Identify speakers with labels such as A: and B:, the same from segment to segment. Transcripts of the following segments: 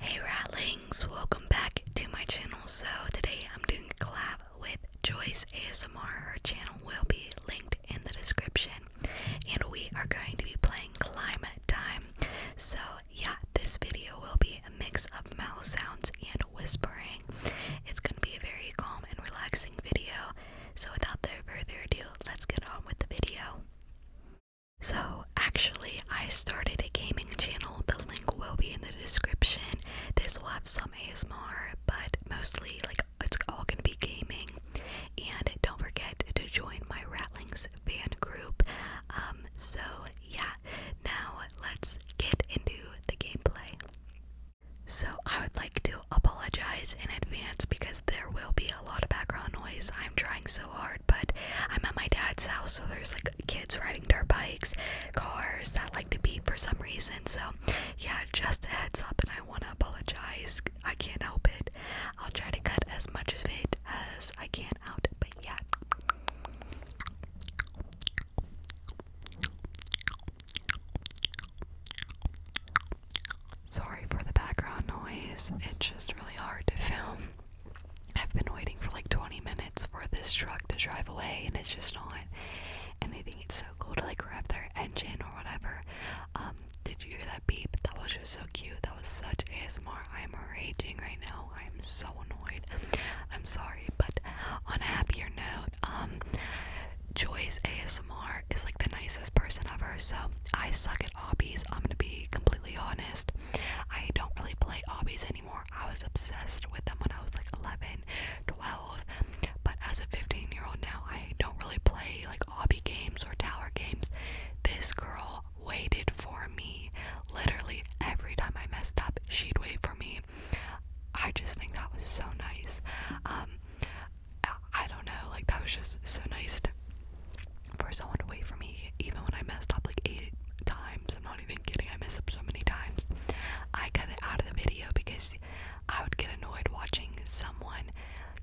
A: Hey Ratlings, welcome back to my channel. So today I'm doing a collab with Joyce ASMR. Her channel will be linked in the description. And we are going to be playing Climate Time. So yeah, this video will be a mix of mouth sounds and whispering. It's going to be a very calm and relaxing video. So without further ado, let's get on with the video. So, actually, I started a gaming channel. The link will be in the description. This will have some ASMR, but mostly, like, it's all gonna be gaming. And don't forget to join my Rattlings fan group. Um, so, yeah, now let's get into the gameplay. So, I would like to apologize in advance because there will be a lot of background noise. I'm trying so hard, but I'm at my dad's house, so there's like kids riding dirt bikes, cars that like to beep for some reason. So, yeah, just a heads up, and I want to apologize. I can't help it. I'll try to cut as much of it as I can out, but yeah. Sorry for the background noise, it's just really hard to film. I've been waiting for like 20 minutes for this truck to drive away and it's just not. And they think it's so cool to like grab their engine or whatever. Um, did you hear that beep? That was just so cute. That was such ASMR. I'm raging right now. I'm so annoyed. I'm sorry, but on a happier note, um, Joy's ASMR is like the nicest person ever. So I suck at hobbies. I'm gonna be completely honest. I don't really play hobbies anymore. I was obsessed with them when I was like 11, 12, but as a 15 year old now, I don't really play like hobby games or tower games. This girl waited for me. Literally, every time I messed up, she'd wait for me. I just think that was so nice. Um, I don't know, like that was just so nice to, for someone to wait for me, even when I messed up like eight times. I'm not even kidding, I messed up so many times. I cut it out of the video because I would get annoyed watching someone,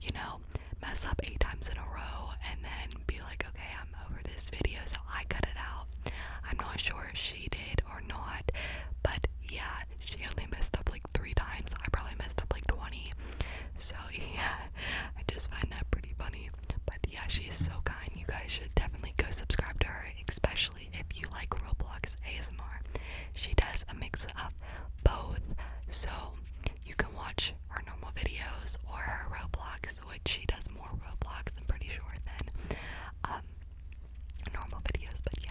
A: you know, mess up eight times in a row and then be like, okay, I'm over this video, so I cut it out. I'm not sure if she did or not, but yeah, she only messed up like three times. I probably messed up like 20. So yeah, I just find that pretty funny. But yeah, she is so kind. You guys should definitely go subscribe to her, especially if you like Roblox ASMR. She does a mix of both, so you can watch her normal videos or her Roblox, which she does more Roblox, I'm pretty sure, than um, normal videos, but yeah.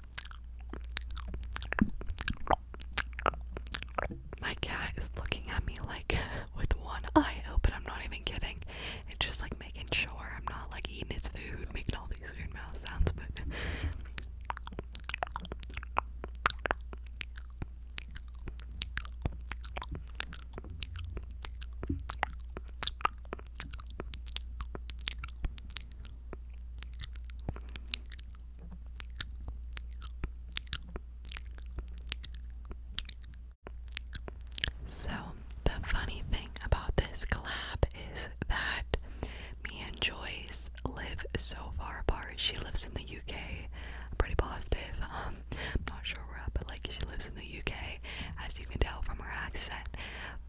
A: My cat is looking at me like with one eye open. I'm not even kidding. It's just like making sure I'm not like eating its food, making all these weird mouth sounds. But so, the funny thing about this collab is that me and Joyce live so far apart. She lives in the UK, I'm pretty positive. I'm not sure where, but like she lives in the UK, as you can tell from her accent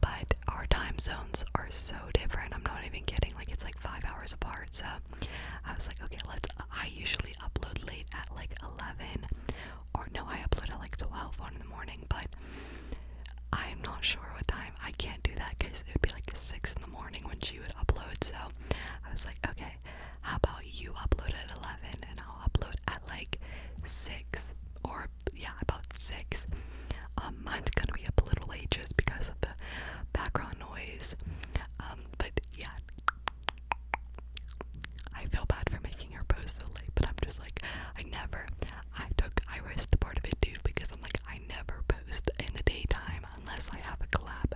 A: but our time zones are so different. I'm not even kidding. Like it's like five hours apart. So I was like, okay, let's. I usually upload late at like 11, or no, I upload at like 12 on in the morning. But I'm not sure what time. I can't do that because it would be like six in the morning when she would upload. So I was like, okay, how about you upload at 11 and I'll upload at like six or yeah, about six. Um, mine's gonna be up a little late just because of the background noise. Um, but yeah, I feel bad for making her post so late, but I'm just like, I never, I took, I risked part of it too because I'm like, I never post in the daytime unless I have a collab.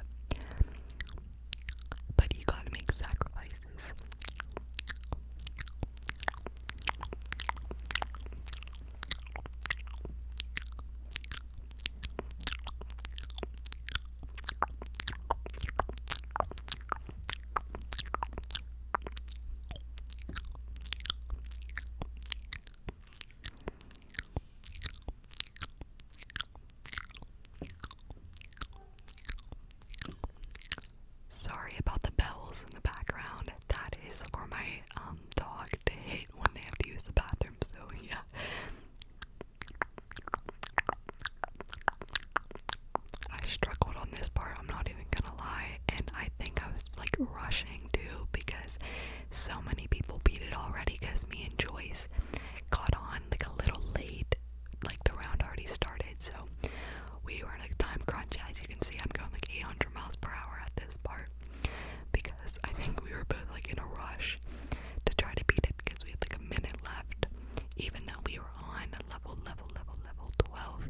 A: But you gotta make sacrifices. Sorry about the bells in the background. That is for my um dog to hit when they have to use the bathroom, so yeah. I struggled on this part, I'm not even gonna lie, and I think I was like rushing too because so many people beat it already because me and Joyce got on like a little late, like the round already started, so we were in a time crunch. As you can see, I'm going like 800 miles per hour at this part because I think we were both like in a rush to try to beat it because we had like a minute left, even though we were on level, level, level, level 12.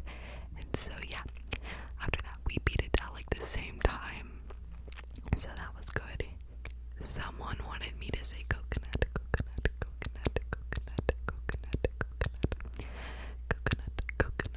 A: And so, yeah, after that, we beat it at like the same time, so that was good. Someone wanted me to say coconut, coconut, coconut, coconut, coconut, coconut, coconut, coconut, coconut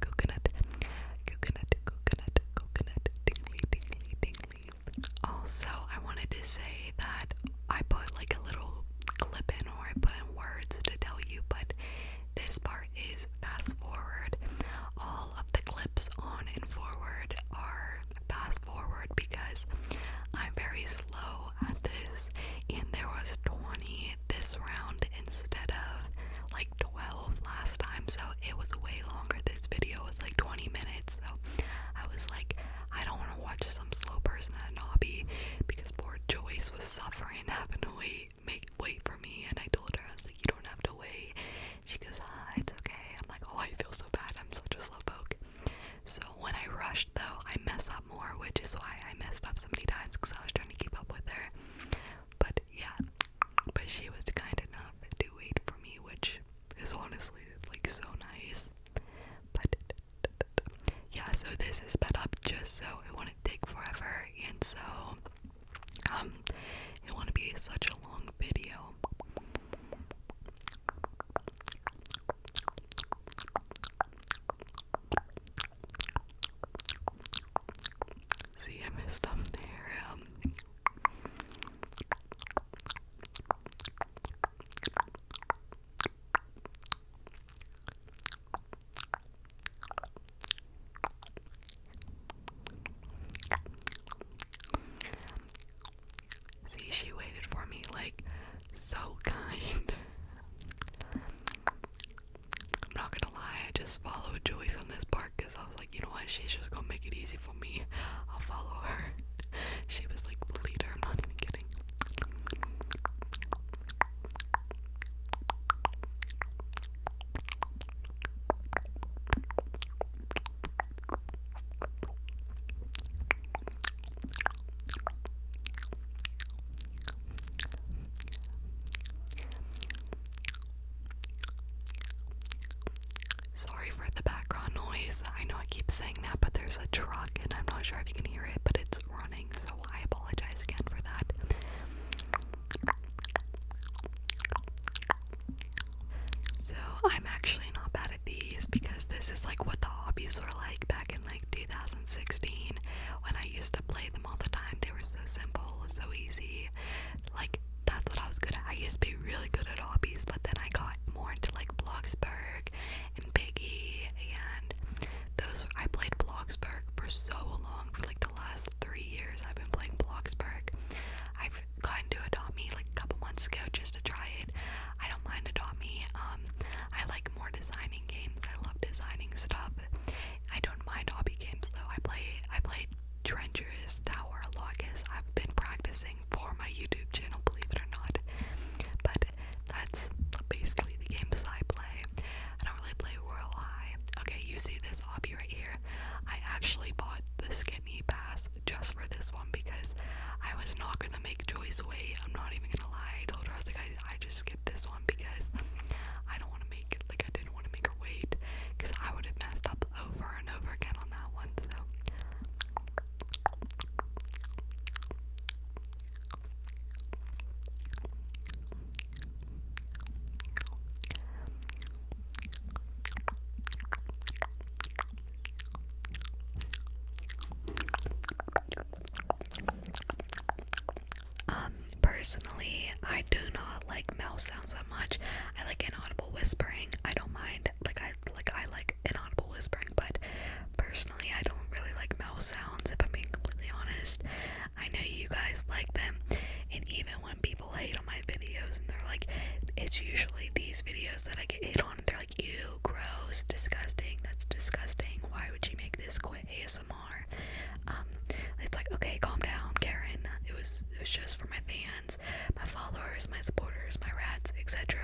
A: coconut, coconut, coconut, coconut, tingly, tingly, tingly. Also, I wanted to say that I put like a little clip in or I put in words to tell you, but this part is fast forward. All of the clips on and forward are fast forward because I'm very slow at this, and there was 20 this round instead of like 12 last time, so it was way longer. This video was like 20 minutes, so I was like, I don't want to watch some slow person at a hobby because poor Joyce was suffering, having to wait, wait for me. And I told her, I was like, You don't have to wait. She goes, Ah, it's okay. I'm like, Oh, I feel so bad. I'm such a slowpoke. So when I rushed, though, I messed more, which is why I messed up so many times because I was trying to keep up with her. But yeah, but she was kind enough to wait for me, which is honestly like so nice. But yeah, so this is sped up just so it wouldn't take forever, and so um, it wouldn't be such a long video. See, I messed up there. Um. See, she waited for me like so kind. I'm not gonna lie, I just followed Joyce on this part because I was like, you know what, she's just gonna make it easy for me. I'll follow her. she was like the leader, I'm not even kidding. Sorry for the background noise. I know I keep saying that, but there's a truck and I'm not sure if you can hear it, but it's running, so I apologize again for that. So, I'm actually not bad at these because this is like what the hobbies were like back like 2016 when I used to play them all the time. They were so simple, so easy. Like that's what I was good at. I used to be really good at hobbies, but then I got more into like Bloxburg and Biggie and those I played Bloxburg for so long for like the last three years I've been playing Bloxburg. I've gotten to Adopt Me like a couple months ago just to try it. I don't mind Adopt Me. Um I like more designing games. I love designing stuff I don't mind hobby games though. I play I play Treacherous Tower Logus. I've been practicing for my YouTube channel, believe it or not. But that's basically the games I play. I don't really play Royal High. Okay, you see this hobby right here. I actually bought the Skimmy Pass just for this one because I was not gonna make Joyce wait. I'm not even gonna lie. I told her I was like I, just skipped this one because I don't want to make make it, like I didn't want to make her wait because I would have messed up over and over again on that one. So um, personally, I do not like mouse sounds that much. I like inaudible whispering. I don't mind. Like I like I like inaudible whispering, but personally, I don't really like mouse sounds. If I'm being completely honest, I know you guys like them, and even when people hate on my videos, and they're like, it's usually these videos that I get hit on. they're like, ew, gross, disgusting. That's disgusting. Why would you make this quit ASMR? Um, it's like okay, calm down, Karen. It was it was just for my fans, my followers, my supporters, my rats, etc.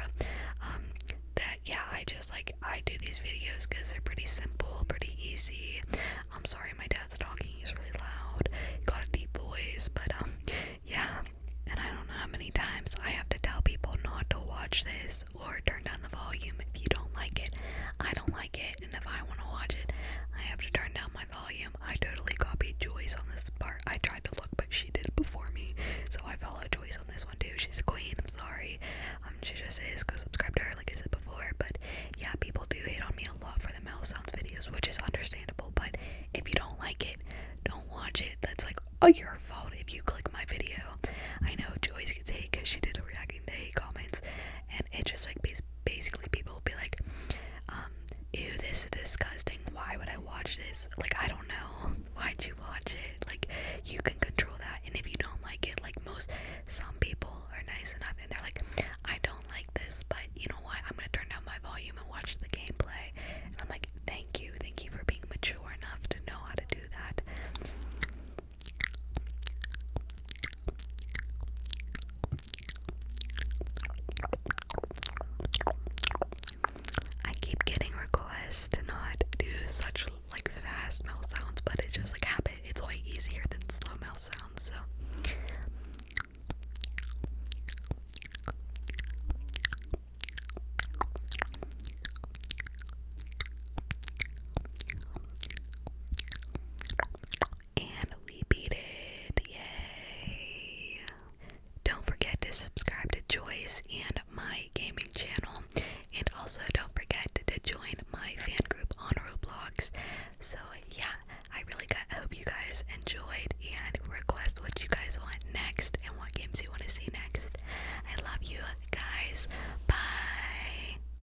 A: Um, that yeah, I just like I do these videos because they're pretty simple, pretty easy. I'm sorry, my dad's talking. He's really loud. He got a deep voice, but um, yeah. And I don't know how many times I have to tell people not to watch this or turn down the volume if you don't like it. I don't like it and if I want to watch it, I have to turn down my volume. I totally copied Joyce on this part. I tried to look, but she did it before me, so I followed Joyce on this one too. She's a queen. I'm sorry. Um, she just is. Go subscribe to her, like I said before. But yeah, people do hate on me a lot for the mouse sounds videos, which is understandable. But if you don't like it, don't watch it. That's like all oh, your fault if you click my video. I know Joyce gets hate because she did a reacting to hate comments and it just like basically people will be like, um, ew, this is disgusting. Why would I watch this? Like, I don't know. Why'd you watch it? Like, you can control that. And if you don't like it, like most, some people are nice enough and they're like, I don't like this, but you know what? I'm gonna turn down my volume and watch the gameplay. And I'm like, thank you. Thank you for being mature enough to know how to do that. I keep getting requests to not do such like fast mouth sounds, but it's just like habit. It's way easier than slow mouth sounds, so and we beat it. Yay. Don't forget to subscribe to Joyce and my gaming channel. And also don't forget to join my fan group on Roblox. So yeah, I really hope you guys enjoyed and request what you guys want next and what games you want to see next. I love you guys. Bye.